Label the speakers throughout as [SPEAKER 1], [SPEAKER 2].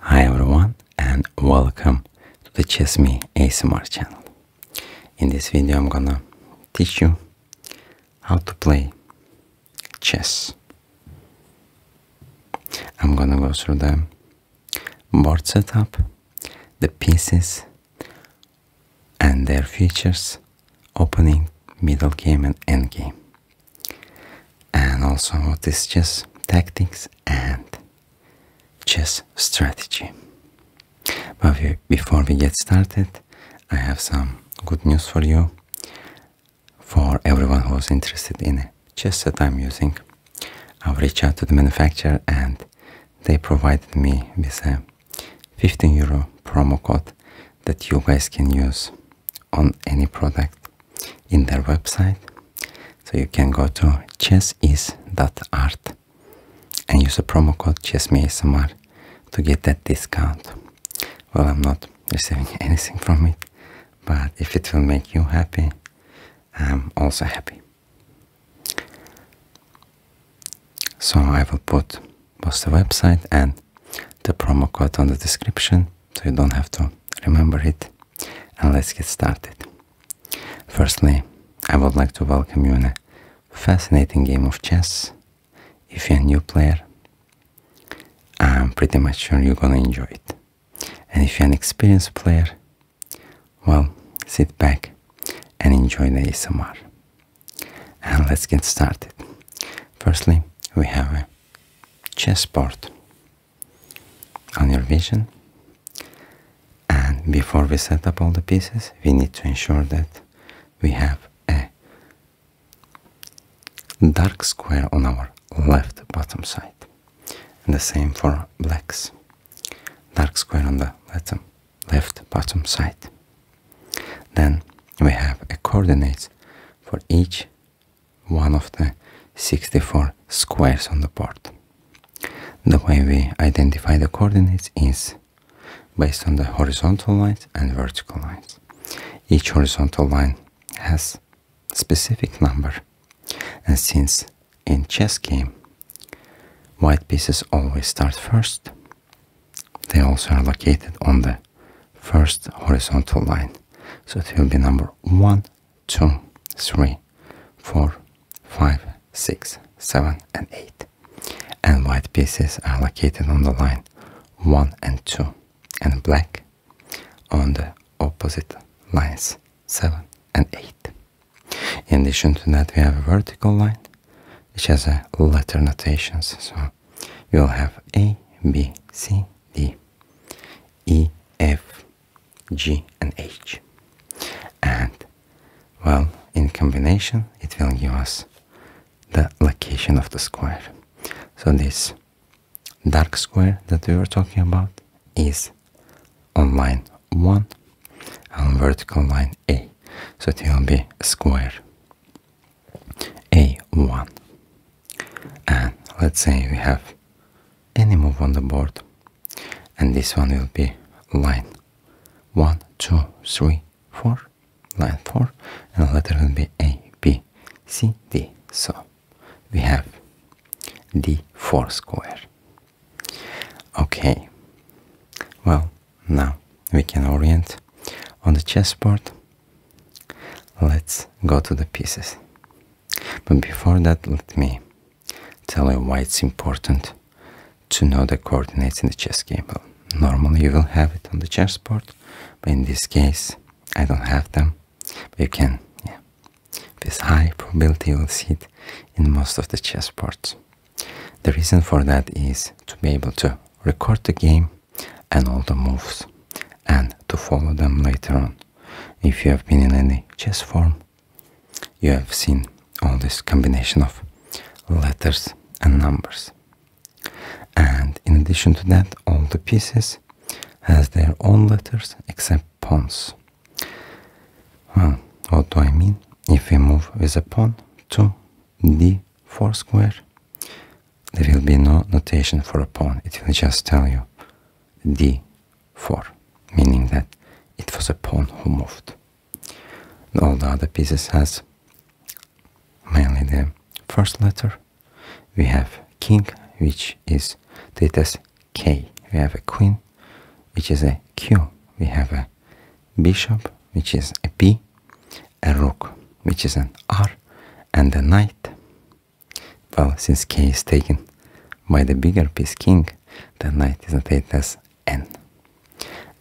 [SPEAKER 1] Hi everyone and welcome to the Chess Me ASMR channel. In this video I'm gonna teach you how to play chess. I'm gonna go through the board setup, the pieces and their features, opening, middle game and end game and also what is just tactics and chess strategy. But before we get started, I have some good news for you, for everyone who is interested in chess that I'm using. i reached out to the manufacturer and they provided me with a 15 euro promo code that you guys can use on any product in their website. So you can go to chessis.art and use a promo code chessmeasmr to get that discount. Well, I'm not receiving anything from it, but if it will make you happy, I'm also happy. So I will put both the website and the promo code on the description so you don't have to remember it and let's get started. Firstly, I would like to welcome you in a fascinating game of chess. If you're a new player, I'm pretty much sure you're gonna enjoy it. And if you're an experienced player, well, sit back and enjoy the ASMR. And let's get started. Firstly, we have a chessboard on your vision. And before we set up all the pieces, we need to ensure that we have a dark square on our left bottom side. And the same for blacks. Dark square on the left bottom side. Then we have a coordinate for each one of the 64 squares on the board. The way we identify the coordinates is based on the horizontal lines and vertical lines. Each horizontal line has specific number and since in chess game white pieces always start first, they also are located on the first horizontal line. So it will be number 1 2, 3, 4, 5, 6, 7 and 8 and white pieces are located on the line 1 and 2 and black on the opposite lines 7 and 8. In addition to that we have a vertical line which has a letter notations so you'll have A, B, C, D, E, F, G and H. And, well, in combination, it will give us the location of the square. So this dark square that we were talking about is on line 1 on vertical line A. So it will be a square A1 and let's say we have any move on the board and this one will be line one two three four line four and the letter will be a b c d so we have the four square okay well now we can orient on the chessboard let's go to the pieces but before that, let me tell you why it's important to know the coordinates in the chess cable. Normally you will have it on the chessboard, but in this case I don't have them. But you can, yeah, with high probability you will see it in most of the chessboards. The reason for that is to be able to record the game and all the moves and to follow them later on. If you have been in any chess form, you have seen all this combination of letters and numbers. And in addition to that, all the pieces has their own letters except pawns. Well, what do I mean? If we move with a pawn to d4 square, there will be no notation for a pawn. It will just tell you d 4, meaning that it was a pawn who moved. all the other pieces has mainly the first letter. We have king, which is treated as K. We have a queen, which is a Q. We have a bishop, which is a P. A rook, which is an R, and a knight, well, since k is taken by the bigger piece king, the knight is notated as n.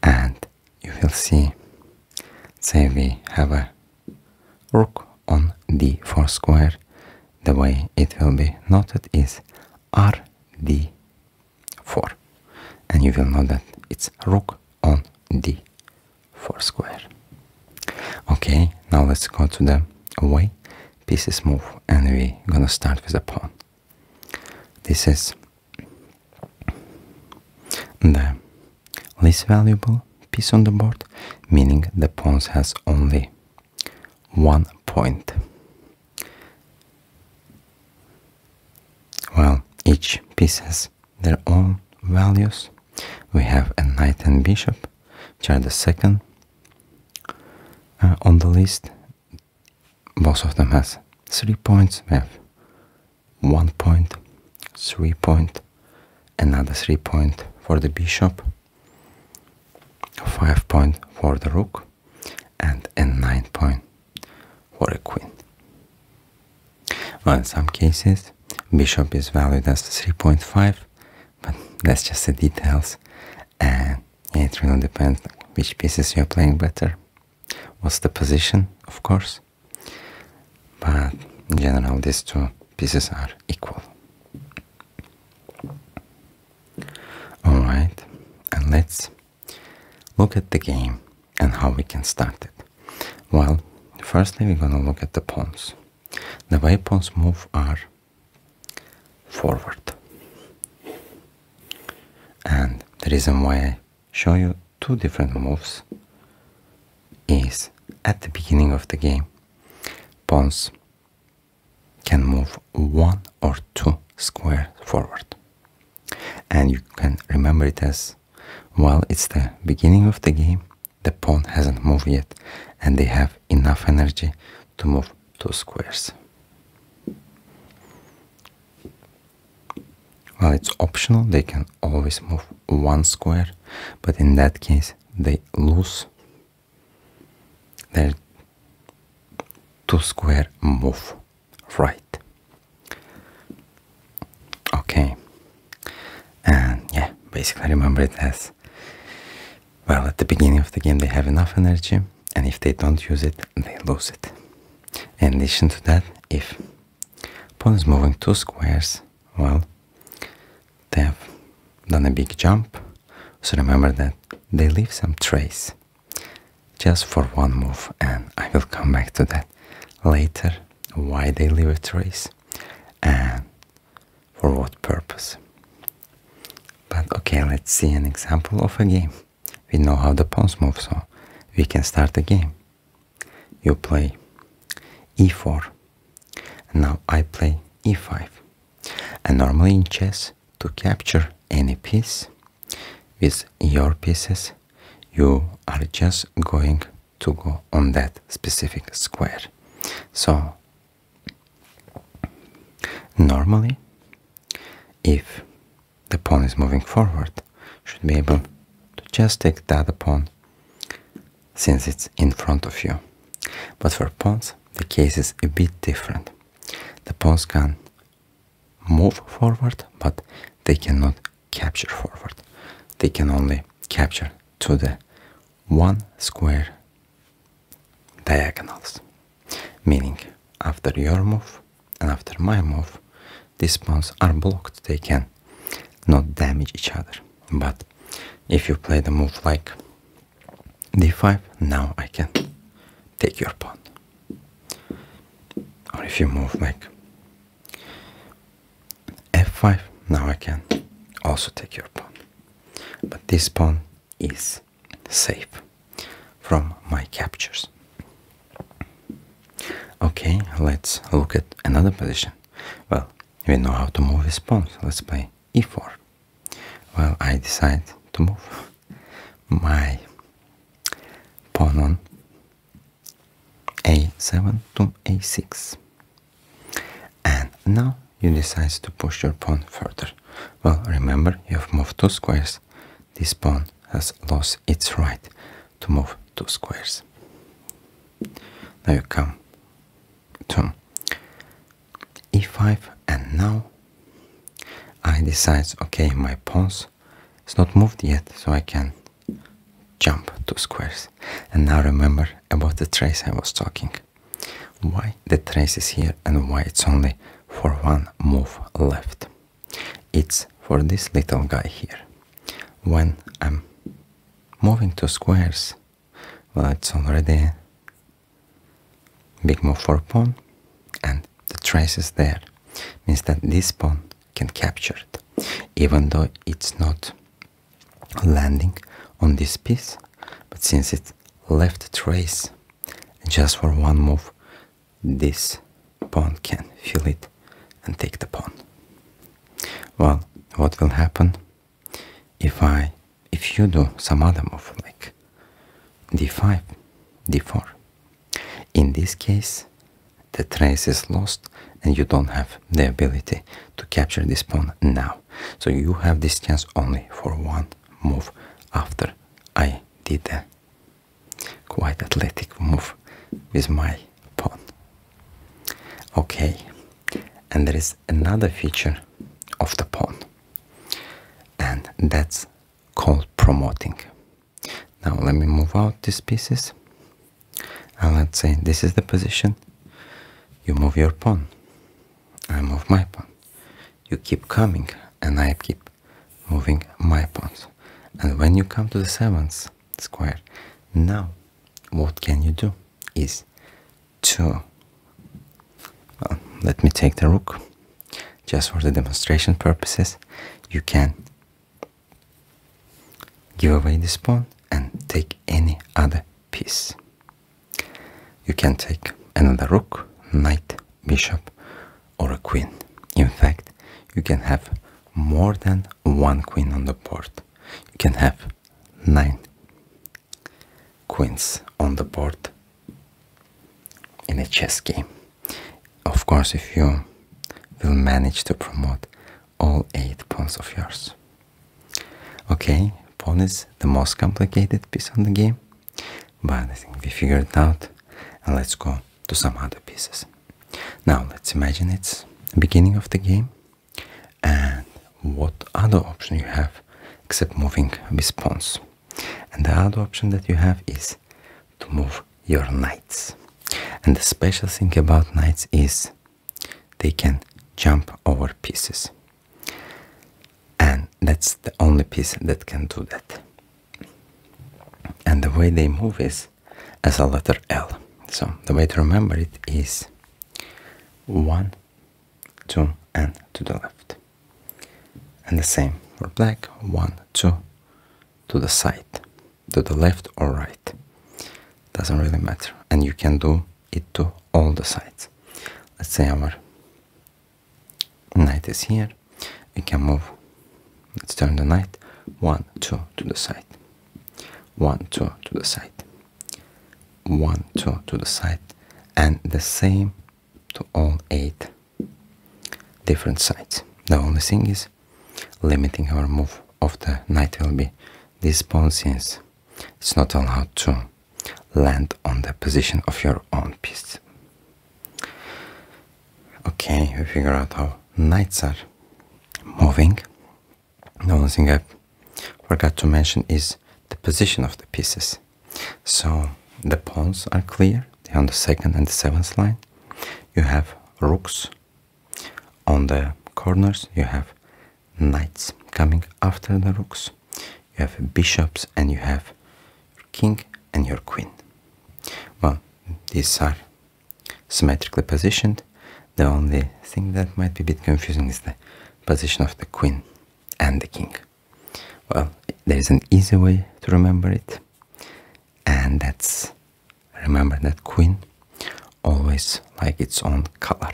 [SPEAKER 1] And you will see, say we have a rook on d4 square, the way it will be noted is rd4. And you will know that it's rook on d4 square. Okay, now let's go to the way pieces move and we're gonna start with the pawn. This is the least valuable piece on the board, meaning the pawn has only one point. Well, each piece has their own values. We have a knight and bishop, which are the second uh, on the list, most of them has three points. We have one point, three point, another three point for the bishop, five point for the rook, and a nine point for a queen. Well, in some cases, bishop is valued as 3.5 but that's just the details and it really depends which pieces you're playing better what's the position of course but in general these two pieces are equal alright and let's look at the game and how we can start it well firstly we're gonna look at the pawns the way pawns move are forward. And the reason why I show you two different moves is at the beginning of the game, pawns can move one or two squares forward. And you can remember it as well, it's the beginning of the game, the pawn hasn't moved yet, and they have enough energy to move two squares. Well, it's optional, they can always move one square, but in that case, they lose their two square move, right? Okay, and yeah, basically remember it as well, at the beginning of the game, they have enough energy, and if they don't use it, they lose it. In addition to that, if pawn is moving two squares, well, they have done a big jump, so remember that they leave some trace just for one move, and I will come back to that later why they leave a trace and for what purpose. But okay, let's see an example of a game. We know how the pawns move, so we can start a game. You play e4. Now I play e5. And normally in chess, to capture any piece with your pieces, you are just going to go on that specific square. So Normally, if the pawn is moving forward, should be able to just take that pawn since it's in front of you. But for pawns, the case is a bit different. The pawns can move forward, but they cannot capture forward. They can only capture to the one square diagonals, meaning after your move and after my move, these pawns are blocked, they can not damage each other. But if you play the move like d5, now I can take your pawn. Or if you move like f5, now I can also take your pawn. But this pawn is Safe from my captures. Okay, let's look at another position. Well, we know how to move this pawn, so let's play e4. Well, I decide to move my pawn on a7 to a6. And now you decide to push your pawn further. Well, remember, you have moved two squares. This pawn has lost its right to move two squares. Now you come to e5 and now I decide, okay, my pawn is not moved yet, so I can jump two squares. And now remember about the trace I was talking. Why the trace is here and why it's only for one move left. It's for this little guy here. When I'm moving two squares, well, it's already big move for pawn and the trace is there. Means that this pawn can capture it. Even though it's not landing on this piece, but since it left trace just for one move this pawn can fill it and take the pawn well what will happen if i if you do some other move like d5 d4 in this case the trace is lost and you don't have the ability to capture this pawn now so you have this chance only for one move after I did a quite athletic move with my pawn. Okay, and there is another feature of the pawn, and that's called promoting. Now let me move out these pieces, and let's say this is the position. You move your pawn. I move my pawn. You keep coming, and I keep moving my pawn. And when you come to the seventh square, now what can you do is to let me take the rook just for the demonstration purposes. You can give away this pawn and take any other piece. You can take another rook, knight, bishop, or a queen. In fact, you can have more than one queen on the board. You can have nine queens on the board in a chess game. Of course, if you will manage to promote all eight pawns of yours. Okay, pawn is the most complicated piece on the game. But I think we figured it out and let's go to some other pieces. Now let's imagine it's the beginning of the game and what other option you have except moving with pawns. And the other option that you have is to move your knights. And the special thing about knights is they can jump over pieces and that's the only piece that can do that and the way they move is as a letter L so the way to remember it is one two and to the left and the same for black one two to the side to the left or right doesn't really matter and you can do it to all the sides let's say our Knight is here. It can move. Let's turn the knight. One, two to the side. One, two to the side. One, two to the side. And the same to all eight different sides. The only thing is limiting our move of the knight will be this pawn since it's not allowed to land on the position of your own piece. Okay, we figured out how knights are moving. The only thing I forgot to mention is the position of the pieces. So the pawns are clear, on the second and seventh line. You have rooks on the corners, you have knights coming after the rooks you have bishops and you have your king and your queen. Well, these are symmetrically positioned. The only thing that might be a bit confusing is the position of the queen and the king. Well, there is an easy way to remember it, and that's remember that queen always like its own color.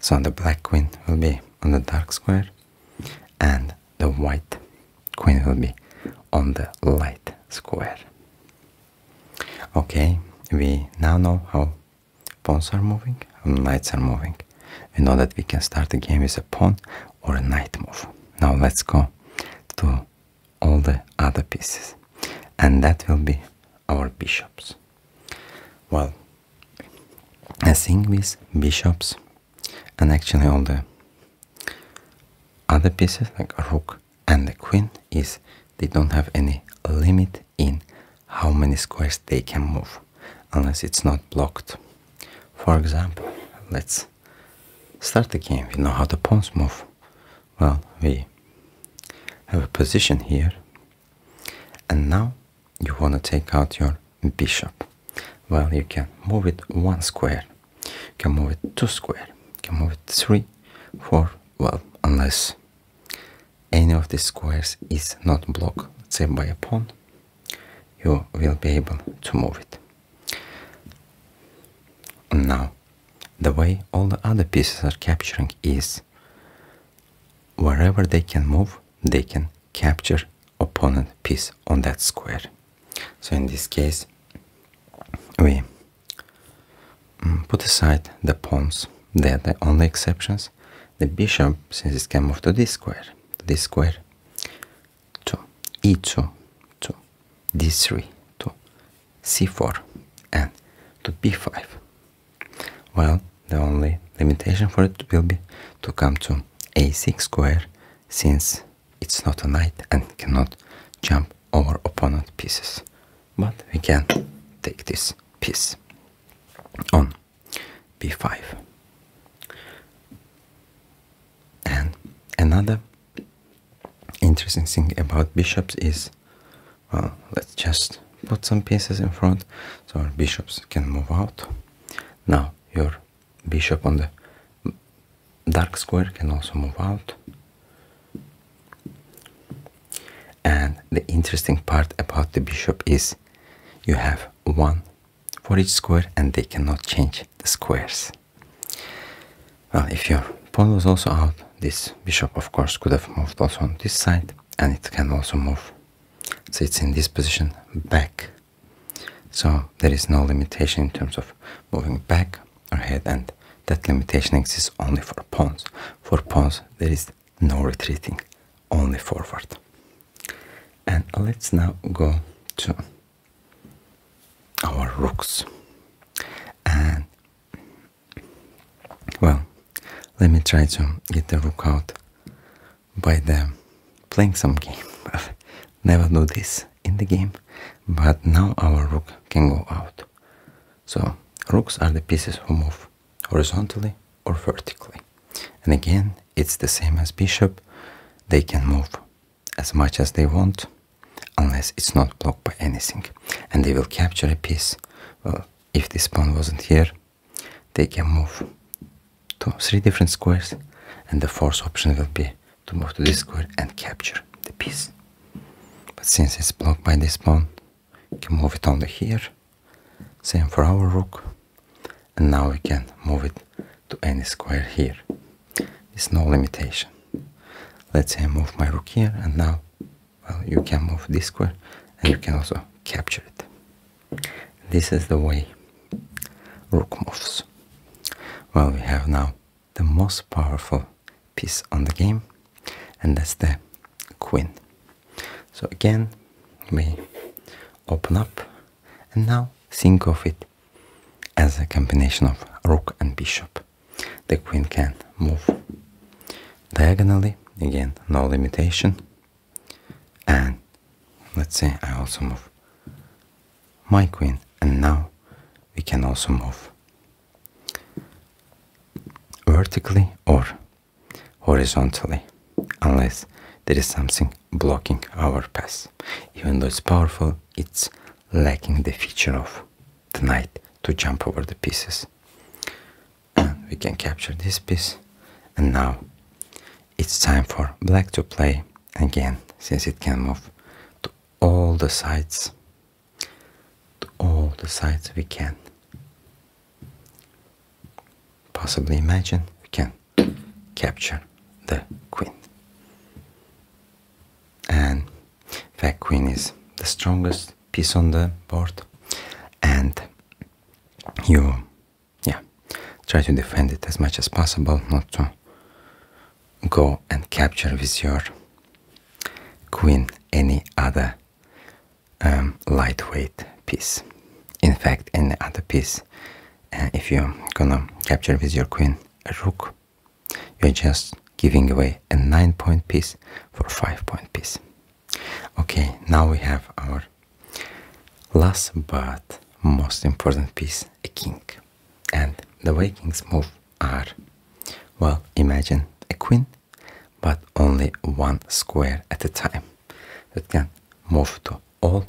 [SPEAKER 1] So the black queen will be on the dark square and the white queen will be on the light square. Okay, we now know how pawns are moving, how knights are moving. We know that we can start the game with a pawn or a knight move. Now let's go to all the other pieces, and that will be our bishops. Well, I think with bishops and actually all the other pieces like a rook and the queen is they don't have any limit in how many squares they can move unless it's not blocked. For example, let's start the game. We know how the pawns move. Well, we have a position here and now you want to take out your bishop. Well, you can move it one square, you can move it two square, you can move it three, four, well, unless any of these squares is not blocked, say by a pawn, you will be able to move it. Now, the way all the other pieces are capturing is wherever they can move, they can capture opponent piece on that square. So in this case, we mm, put aside the pawns, they are the only exceptions. The bishop, since it can move to this square, to this square, to e2, to d3, to c4, and to b5. Well, the only limitation for it will be to come to a6 square since it's not a knight and cannot jump over opponent pieces. But we can take this piece on b5. And another interesting thing about bishops is, well, let's just put some pieces in front so our bishops can move out. Now your bishop on the dark square can also move out. And the interesting part about the bishop is you have one for each square and they cannot change the squares. Well, if your pawn was also out, this bishop of course could have moved also on this side and it can also move. So it's in this position back so there is no limitation in terms of moving back or ahead, and that limitation exists only for pawns. For pawns there is no retreating, only forward. And let's now go to our rooks. And well, let me try to get the rook out by the playing some game. Never do this in the game, but now our rook can go out. So rooks are the pieces who move horizontally or vertically. And again, it's the same as bishop. They can move as much as they want, unless it's not blocked by anything. And they will capture a piece. Well, if this pawn wasn't here, they can move to three different squares and the fourth option will be to move to this square and capture the piece but since it's blocked by this pawn you can move it only here same for our rook and now we can move it to any square here there's no limitation let's say I move my rook here and now well you can move this square and you can also capture it this is the way rook moves. Well, we have now the most powerful piece on the game, and that's the queen. So again, we open up, and now think of it as a combination of rook and bishop. The queen can move diagonally, again, no limitation, and let's say I also move my queen and now we can also move vertically or horizontally unless there is something blocking our path even though it's powerful it's lacking the feature of the knight to jump over the pieces we can capture this piece and now it's time for black to play again since it can move to all the sides to all the sides we can possibly imagine we can capture the queen and in queen is the strongest piece on the board and you yeah, try to defend it as much as possible, not to go and capture with your queen any other um, lightweight piece. In fact, any other piece, uh, if you're gonna capture with your queen a rook, you're just giving away a 9 point piece for 5 point piece. Okay, now we have our Last but most important piece, a king. And the way kings move are, well, imagine a queen, but only one square at a time. That can move to all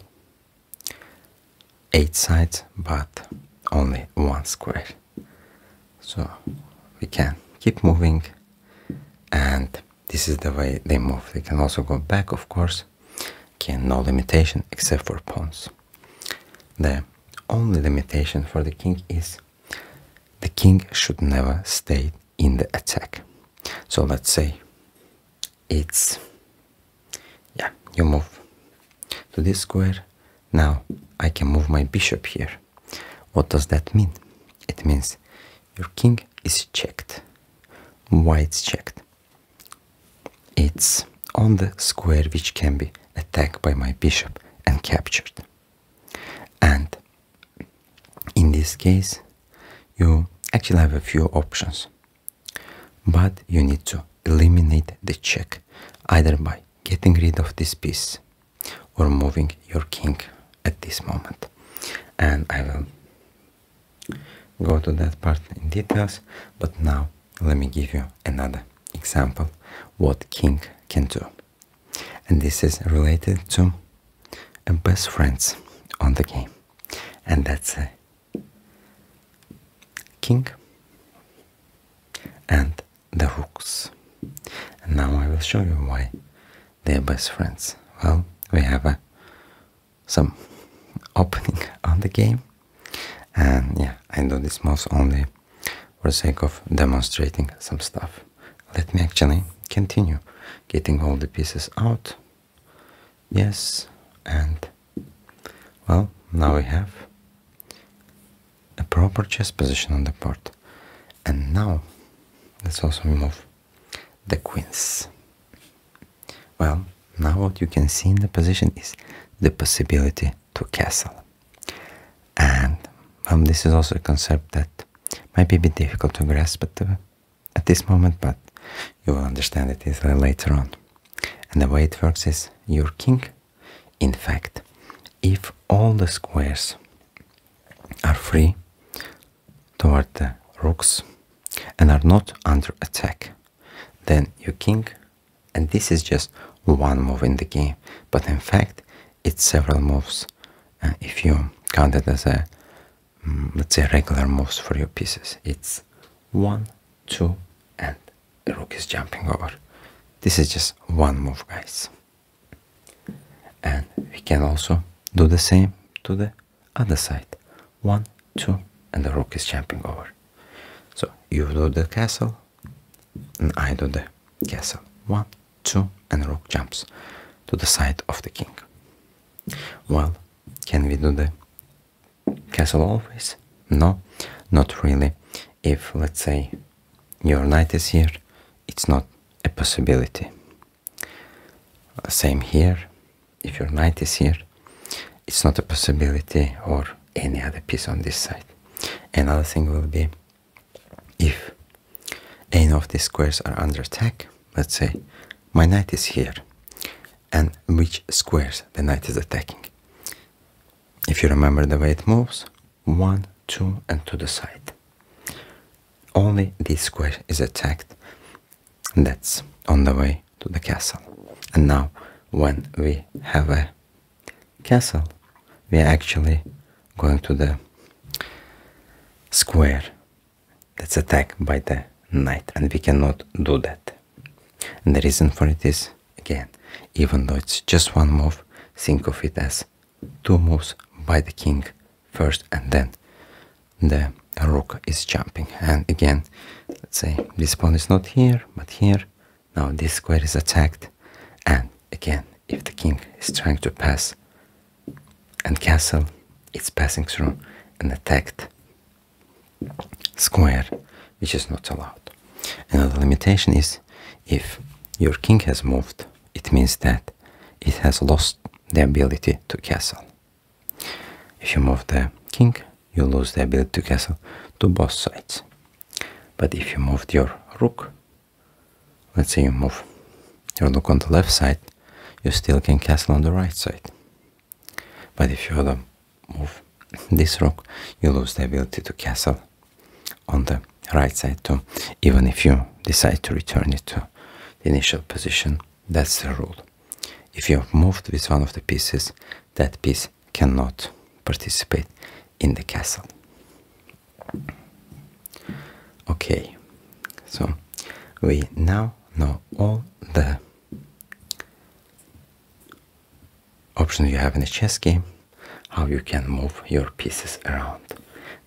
[SPEAKER 1] eight sides, but only one square. So we can keep moving and this is the way they move. They can also go back, of course, King no limitation except for pawns. The only limitation for the king is the king should never stay in the attack. So let's say it's yeah, you move to this square. Now I can move my bishop here. What does that mean? It means your king is checked. Why it's checked? It's on the square which can be attacked by my bishop and captured. And in this case, you actually have a few options, but you need to eliminate the check either by getting rid of this piece or moving your king at this moment. And I will Go to that part in details, but now let me give you another example what king can do. And this is related to best friends on the game. And that's uh, king and the rooks. And now I will show you why they are best friends. Well, we have a some opening on the game and yeah I do this mouse only for the sake of demonstrating some stuff let me actually continue getting all the pieces out yes and well now we have a proper chess position on the board and now let's also remove the queens well, now what you can see in the position is the possibility to castle. And um, this is also a concept that might be a bit difficult to grasp uh, at, this moment, but you will understand it later on. And the way it works is your king. In fact, if all the squares are free toward the rooks and are not under attack, then your king, and this is just one move in the game, but in fact it's several moves uh, if you count it as a, mm, let's say regular move for your pieces. It's one, two, and the rook is jumping over. This is just one move, guys. And we can also do the same to the other side one, two, and the rook is jumping over. So you do the castle, and I do the castle. One, two, and rook jumps to the side of the king. Well, can we do the castle always? No, not really. If, let's say, your knight is here, it's not a possibility. Same here, if your knight is here, it's not a possibility or any other piece on this side. Another thing will be if any of these squares are under attack, let's say my knight is here, and which squares the knight is attacking. If you remember the way it moves, one, two, and to the side. Only this square is attacked that's on the way to the castle. And now, when we have a castle, we are actually going to the square that's attacked by the knight, and we cannot do that. And the reason for it is, again, even though it's just one move, think of it as two moves by the king first and then the a rook is jumping and again let's say this pawn is not here but here now this square is attacked and again if the king is trying to pass and castle it's passing through an attacked square which is not allowed another limitation is if your king has moved it means that it has lost the ability to castle if you move the king, you lose the ability to castle to both sides. But if you move your rook, let's say you move your rook on the left side, you still can castle on the right side. But if you move this rook, you lose the ability to castle on the right side too, even if you decide to return it to the initial position. That's the rule. If you move with one of the pieces, that piece cannot participate in the castle. Okay, so we now know all the options you have in a chess game, how you can move your pieces around.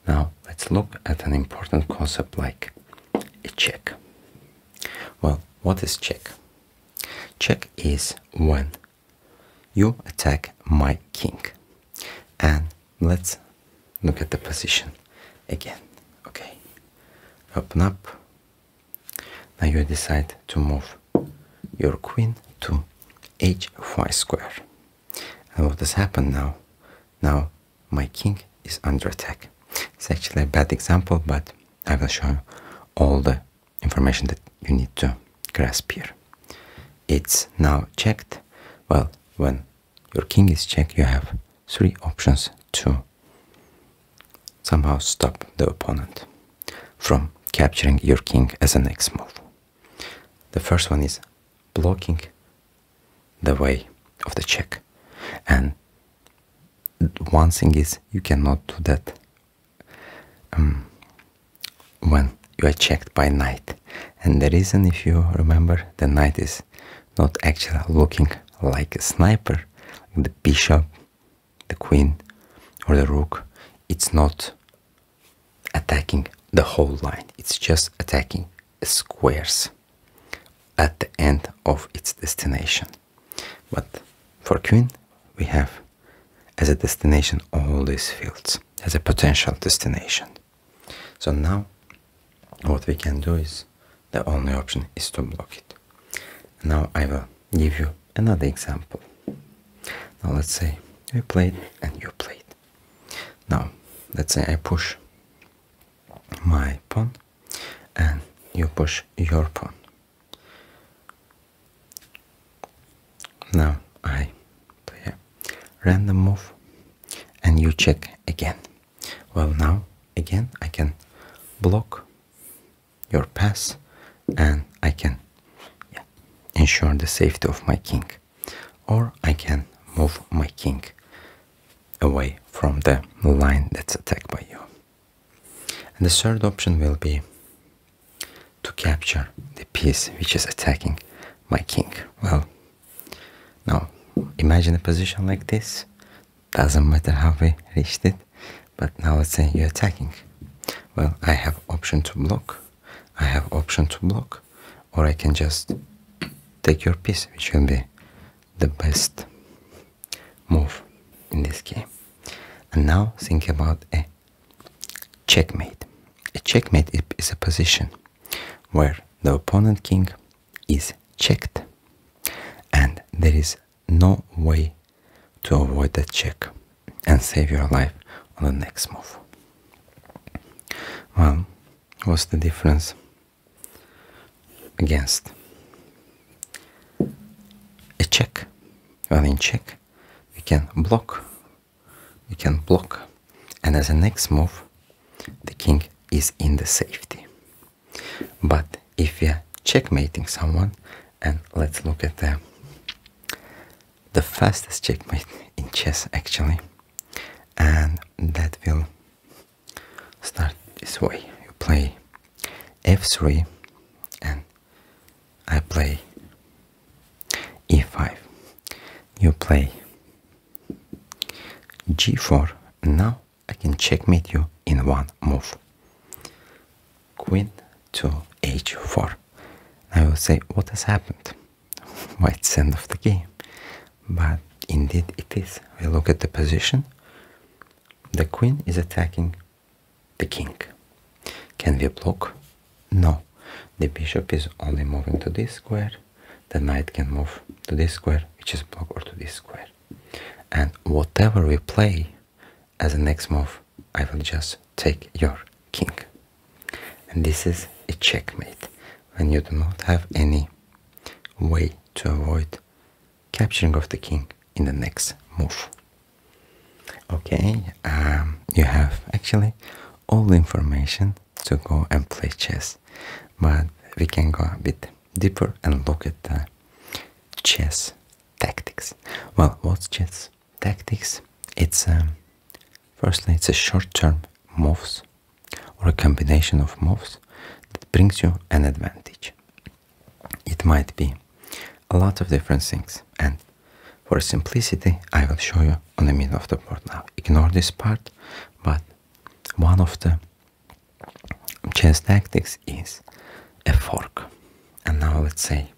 [SPEAKER 1] Now let's look at an important concept like a check. Well, what is check? Check is when you attack my king. And let's look at the position again. Okay, open up. Now you decide to move your queen to h5 square. And what has happened now? Now my king is under attack. It's actually a bad example, but I will show you all the information that you need to grasp here. It's now checked. Well, when your king is checked, you have three options to somehow stop the opponent from capturing your king as a next move. The first one is blocking the way of the check. And one thing is you cannot do that um, when you are checked by knight, And the reason, if you remember, the knight is not actually looking like a sniper, the bishop, the queen, or the rook. It's not attacking the whole line, it's just attacking squares at the end of its destination. But for Queen, we have as a destination all these fields, as a potential destination. So now what we can do is the only option is to block it. Now I will give you another example. Now let's say you played and you played. Now let's say I push my pawn and you push your pawn. Now I play random move and you check again. Well, now again I can block your pass and I can ensure the safety of my king. Or I can move my king away from the line that's attacked by you. And the third option will be to capture the piece which is attacking my king. Well, now imagine a position like this. Doesn't matter how we reached it, but now let's say you're attacking. Well, I have option to block. I have option to block, or I can just take your piece, which will be the best move in this game. And now think about a checkmate. A checkmate is a position where the opponent king is checked and there is no way to avoid that check and save your life on the next move. Well, what's the difference against a check I mean check You can block You can block and as a next move the king is in the safety but if we are checkmating someone and let's look at the the fastest checkmate in chess actually and that will start this way you play f3 and I play e5. You play g4. Now I can checkmate you in one move. Queen to h4. I will say, what has happened? White end of the game. But indeed it is. We look at the position. The queen is attacking the king. Can we block? No. The bishop is only moving to this square. The knight can move to this square, which is block, or to this square. And whatever we play as a next move, I will just take your king. And this is a checkmate when you do not have any way to avoid capturing of the king in the next move. Okay, um, you have actually all the information to go and play chess, but we can go a bit deeper and look at the chess tactics. Well, what's chess tactics? It's um, firstly it's a short-term moves or a combination of moves that brings you an advantage. It might be a lot of different things and for simplicity I will show you on the middle of the board now. Ignore this part but one of the chess tactics is a fork and now let's say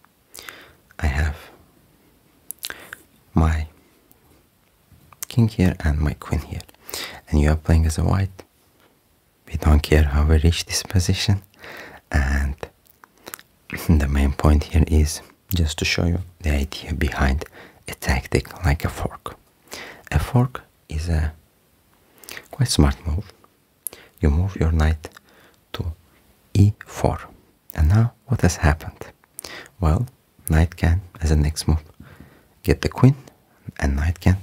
[SPEAKER 1] I have my king here and my queen here and you are playing as a white we don't care how we reach this position and the main point here is just to show you the idea behind a tactic like a fork a fork is a quite smart move you move your knight to e4 and now what has happened well knight can as a next move get the queen and knight can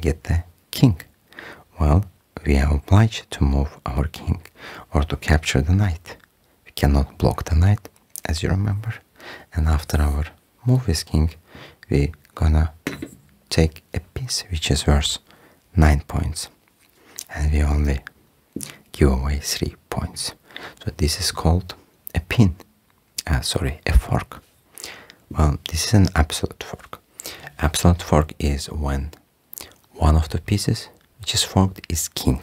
[SPEAKER 1] get the king well we are obliged to move our king or to capture the knight. We cannot block the knight, as you remember. And after our move with king, we gonna take a piece which is worth 9 points. And we only give away 3 points. So this is called a pin. Uh, sorry, a fork. Well, this is an absolute fork. Absolute fork is when one of the pieces which is formed is king,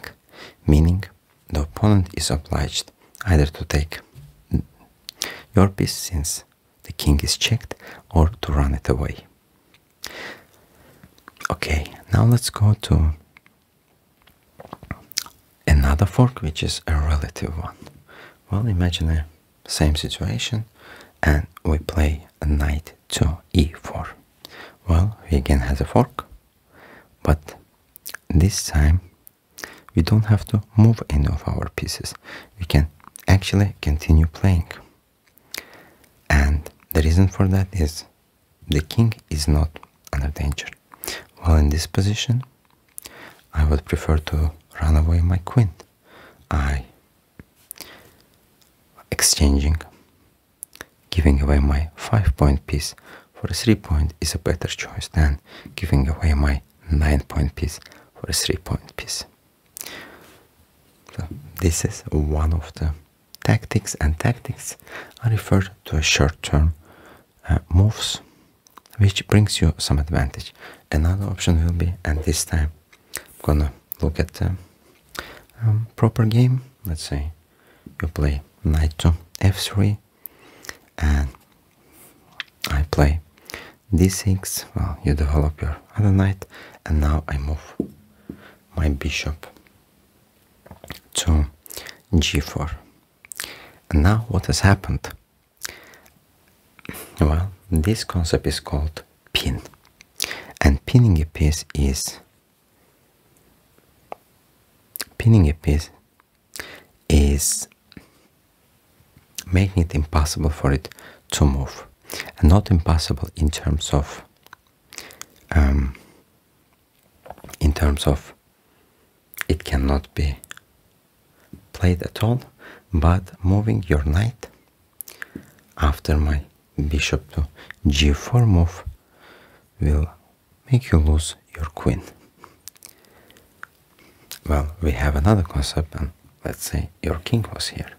[SPEAKER 1] meaning the opponent is obliged either to take your piece since the king is checked or to run it away. Okay, now let's go to another fork which is a relative one. Well, imagine a same situation and we play knight to e4 well we again has a fork but this time we don't have to move any of our pieces we can actually continue playing and the reason for that is the king is not under danger while in this position I would prefer to run away my queen I Exchanging, giving away my 5 point piece for a 3 point is a better choice than giving away my 9 point piece for a 3 point piece. So this is one of the tactics and tactics are referred to as short-term uh, moves which brings you some advantage. Another option will be, and this time I'm gonna look at the um, um, proper game. Let's say you play knight to f3 and I play d6. Well, you develop your other knight and now I move my bishop to g4. And now what has happened? Well, this concept is called pin and pinning a piece is pinning a piece is making it impossible for it to move and not impossible in terms of um, in terms of it cannot be played at all but moving your knight after my bishop to g4 move will make you lose your queen. Well, we have another concept and let's say your king was here.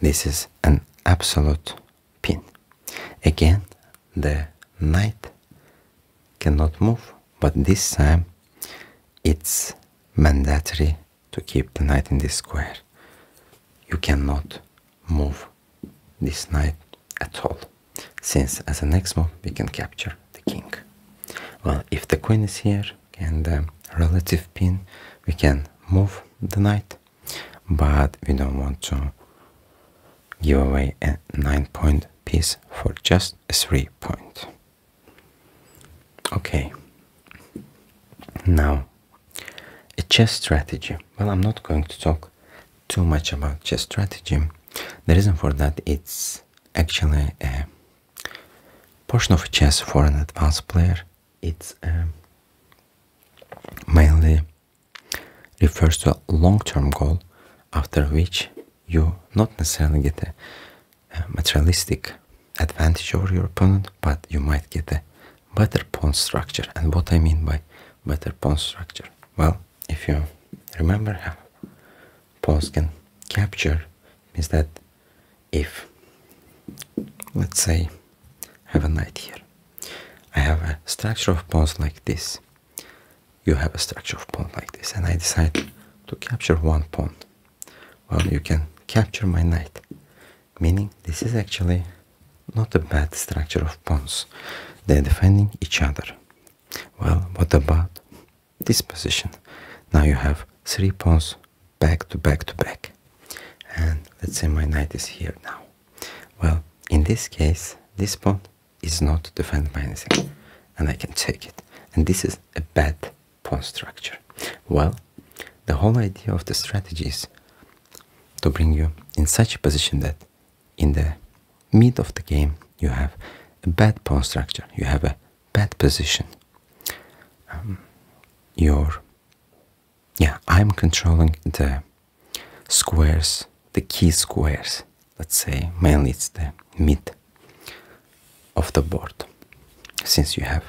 [SPEAKER 1] This is an absolute pin. Again, the knight cannot move, but this time it's mandatory to keep the knight in this square. You cannot move this knight at all, since as an next we can capture the king. Well, if the queen is here and um, relative pin, we can move the knight, but we don't want to give away a 9 point piece for just 3 point. Okay, now a chess strategy. Well, I'm not going to talk too much about chess strategy. The reason for that it's actually a portion of chess for an advanced player. It's um, mainly refers to a long-term goal after which you not necessarily get a materialistic advantage over your opponent, but you might get a better pawn structure. And what I mean by better pawn structure? Well, if you remember how pawns can capture, is that if, let's say, I have a knight here. I have a structure of pawns like this. You have a structure of pawns like this, and I decide to capture one pawn. Well, you can capture my knight meaning this is actually not a bad structure of pawns. They're defending each other. Well, what about this position? Now you have three pawns back to back to back. And let's say my knight is here now. Well, in this case, this pawn is not defended by anything, and I can take it. And this is a bad pawn structure. Well, the whole idea of the strategy is to bring you in such a position that in the mid of the game you have a bad pawn structure, you have a bad position. Um, your yeah, I'm controlling the squares, the key squares. Let's say mainly it's the mid of the board, since you have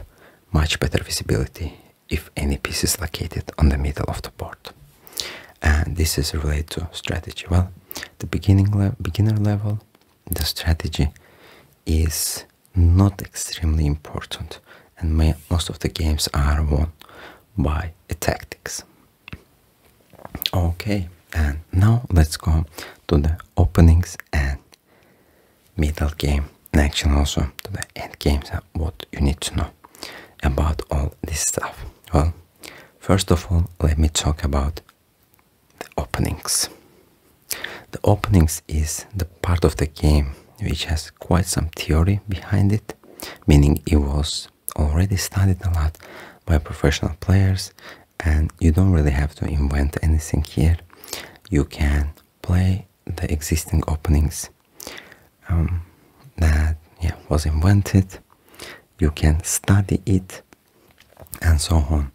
[SPEAKER 1] much better visibility if any piece is located on the middle of the board. And this is related to strategy. Well, the beginning beginner level, the strategy is not extremely important, and most of the games are won by tactics. Okay, and now let's go to the openings and middle game action also to the end games and what you need to know about all this stuff. Well, first of all, let me talk about the openings. The openings is the part of the game which has quite some theory behind it, meaning it was already studied a lot by professional players and you don't really have to invent anything here. You can play the existing openings um, that was invented. You can study it and so on.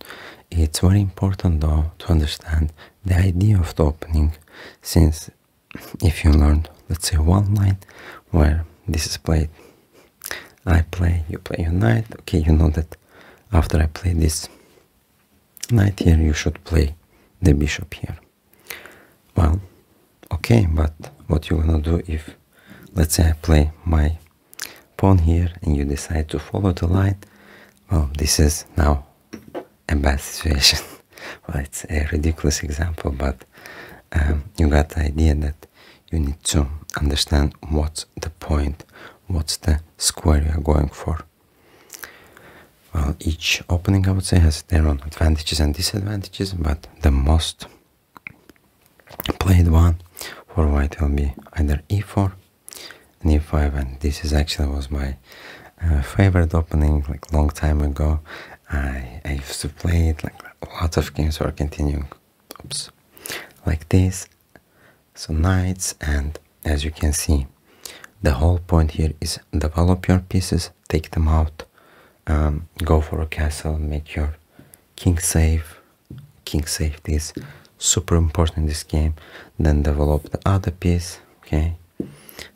[SPEAKER 1] It's very important though to understand the idea of the opening since if you learn, let's say, one line where this is played, I play, you play your knight, okay, you know that after I play this knight here, you should play the bishop here. Well, okay, but what you gonna do if, let's say I play my pawn here and you decide to follow the light? Well, this is now a bad situation. well, it's a ridiculous example, but um, you got the idea that you need to understand what's the point, what's the square you are going for. Well, each opening, I would say, has their own advantages and disadvantages, but the most played one for white will be either e4 and e5, and this is actually was my uh, favorite opening, like, long time ago. I, used to play it, like, lots of games were continuing, oops, like this, so knights and as you can see. The whole point here is develop your pieces, take them out, um, go for a castle, make your king safe. King safety is super important in this game. Then develop the other piece, okay?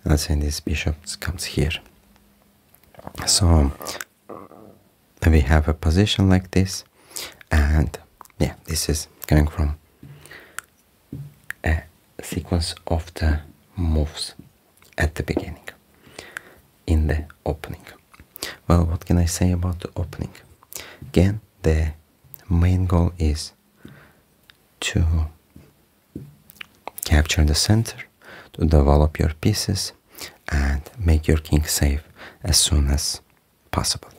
[SPEAKER 1] Let's say this bishop comes here. So we have a position like this and yeah, this is coming from a sequence of the moves at the beginning, in the opening. Well, what can I say about the opening? Again, the main goal is to capture the center, to develop your pieces, and make your king safe as soon as possible.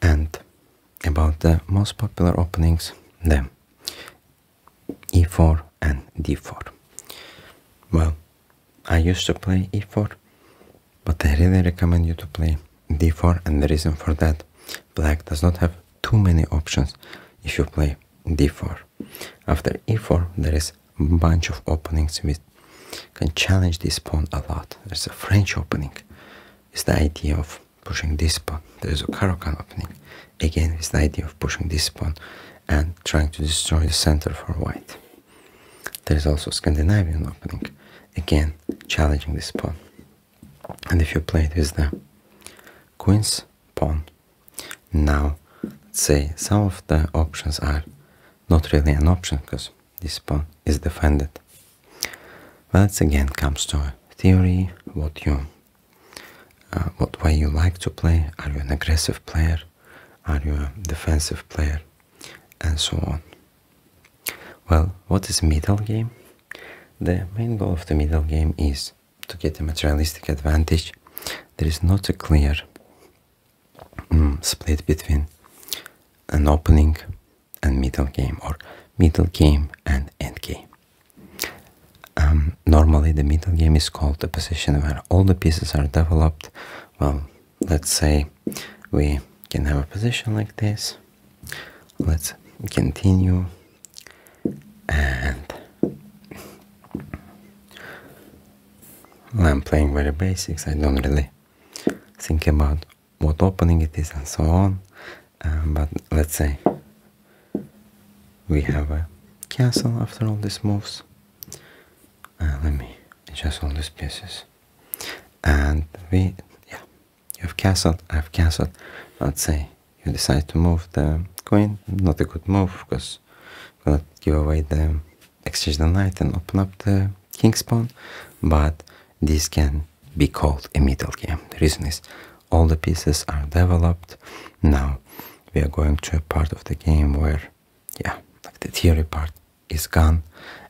[SPEAKER 1] And about the most popular openings, the e4 and d4. Well, I used to play e4, but I really recommend you to play d4 and the reason for that, black does not have too many options if you play d4. After e4, there is a bunch of openings which can challenge this pawn a lot. There's a French opening, It's the idea of pushing this pawn. There is a Karokan opening. Again, it's the idea of pushing this pawn and trying to destroy the center for white. There is also Scandinavian opening. Again, challenging this pawn. And if you play it with the queen's pawn, now let's say some of the options are not really an option because this pawn is defended that again comes to theory, what you, uh, what way you like to play. Are you an aggressive player? Are you a defensive player? And so on. Well, what is middle game? The main goal of the middle game is to get a materialistic advantage. There is not a clear mm, split between an opening and middle game or middle game and end game. Um, normally the middle game is called the position where all the pieces are developed. Well, let's say we can have a position like this. Let's continue and I'm playing very basics. I don't really think about what opening it is and so on. Um, but let's say we have a castle after all these moves. Uh, let me adjust all these pieces. And we, yeah, you have castled, I have castled. Let's say you decide to move the queen, not a good move because gonna give away the exchange the knight and open up the king's pawn, but this can be called a middle game. The reason is all the pieces are developed. Now we are going to a part of the game where, yeah, the theory part is gone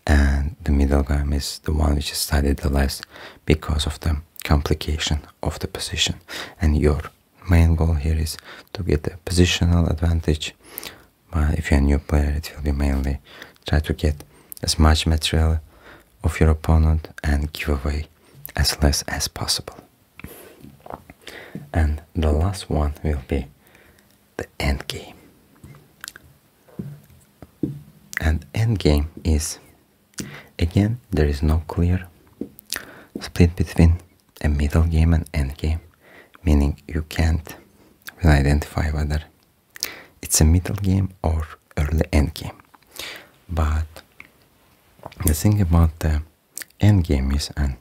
[SPEAKER 1] and the middle game is the one which is studied the less because of the complication of the position. And your main goal here is to get a positional advantage. But if you're a new player, it will be mainly try to get as much material of your opponent and give away as less as possible. And the last one will be the end game. And end game is again there is no clear split between a middle game and end game, meaning you can't really identify whether it's a middle game or early end game. But the thing about the end game is, and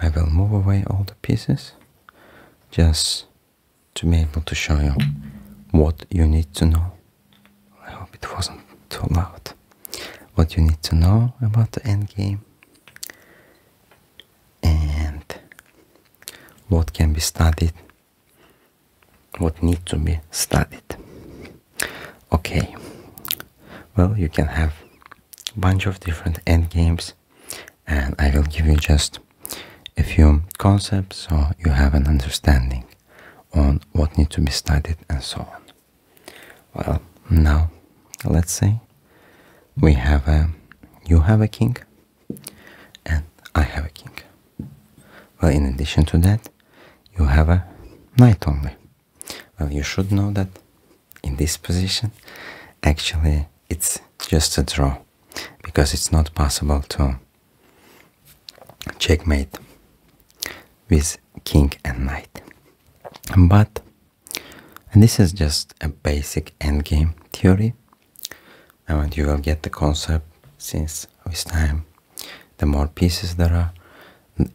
[SPEAKER 1] I will move away all the pieces just to be able to show you what you need to know. I hope it wasn't too loud. What you need to know about the end game and what can be studied what need to be studied. Okay, well you can have a bunch of different endgames and I will give you just a few concepts so you have an understanding on what need to be studied and so on. Well, now let's say we have a you have a king and I have a king. Well, in addition to that, you have a knight only. Well, you should know that in this position, actually, it's just a draw because it's not possible to checkmate with king and knight. But and this is just a basic endgame theory. And you will get the concept since with time the more pieces there are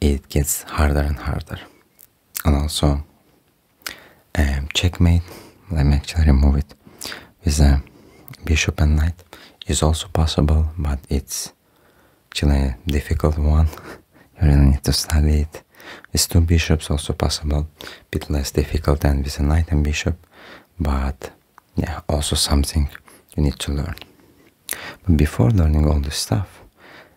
[SPEAKER 1] it gets harder and harder and also um, checkmate let me actually remove it with a uh, bishop and knight is also possible but it's actually a difficult one you really need to study it with two bishops also possible bit less difficult than with a knight and bishop but yeah, also something you need to learn. But before learning all this stuff,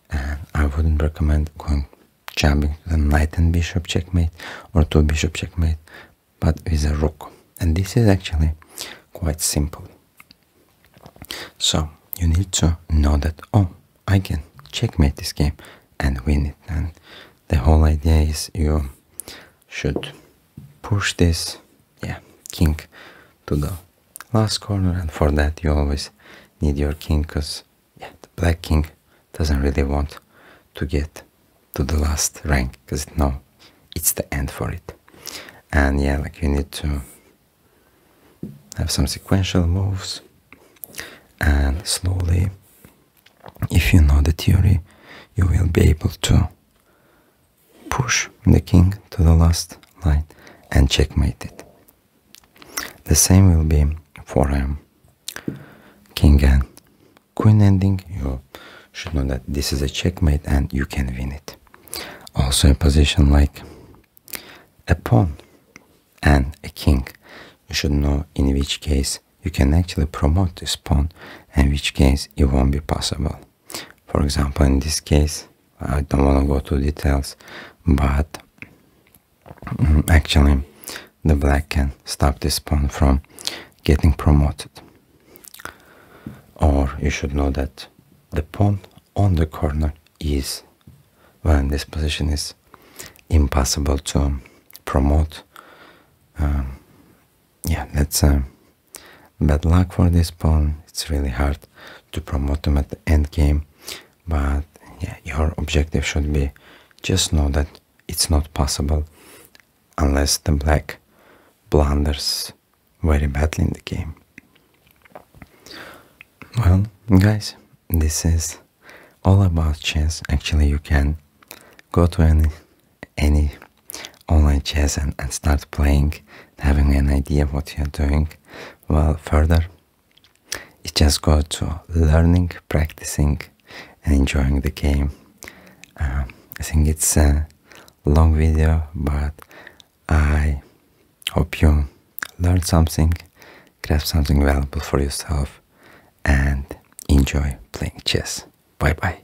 [SPEAKER 1] and uh, I wouldn't recommend going jumping to the knight and bishop checkmate or two bishop checkmate, but with a rook. And this is actually quite simple. So you need to know that oh, I can checkmate this game and win it. And the whole idea is you should push this yeah king to the last corner and for that you always need your king because yeah, the black king doesn't really want to get to the last rank because no it's the end for it and yeah like you need to have some sequential moves and slowly if you know the theory you will be able to push the king to the last line and checkmate it. The same will be for um, king and queen ending. You should know that this is a checkmate and you can win it. Also a position like a pawn and a king. You should know in which case you can actually promote this pawn and which case it won't be possible. For example, in this case, I don't want to go to details, but mm, actually the black can stop this pawn from getting promoted. Or you should know that the pawn on the corner is, when this position is impossible to promote. Um, yeah, let's. Bad luck for this pawn. It's really hard to promote him at the end game. But yeah, your objective should be just know that it's not possible unless the black blunders very badly in the game. Well, guys, this is all about chess. Actually, you can go to any any online chess and, start playing, having an idea what you're doing well further. It just goes to learning, practicing, and enjoying the game. Uh, I think it's a long video, but I hope you learned something, grab something valuable for yourself, and enjoy playing chess. Bye bye.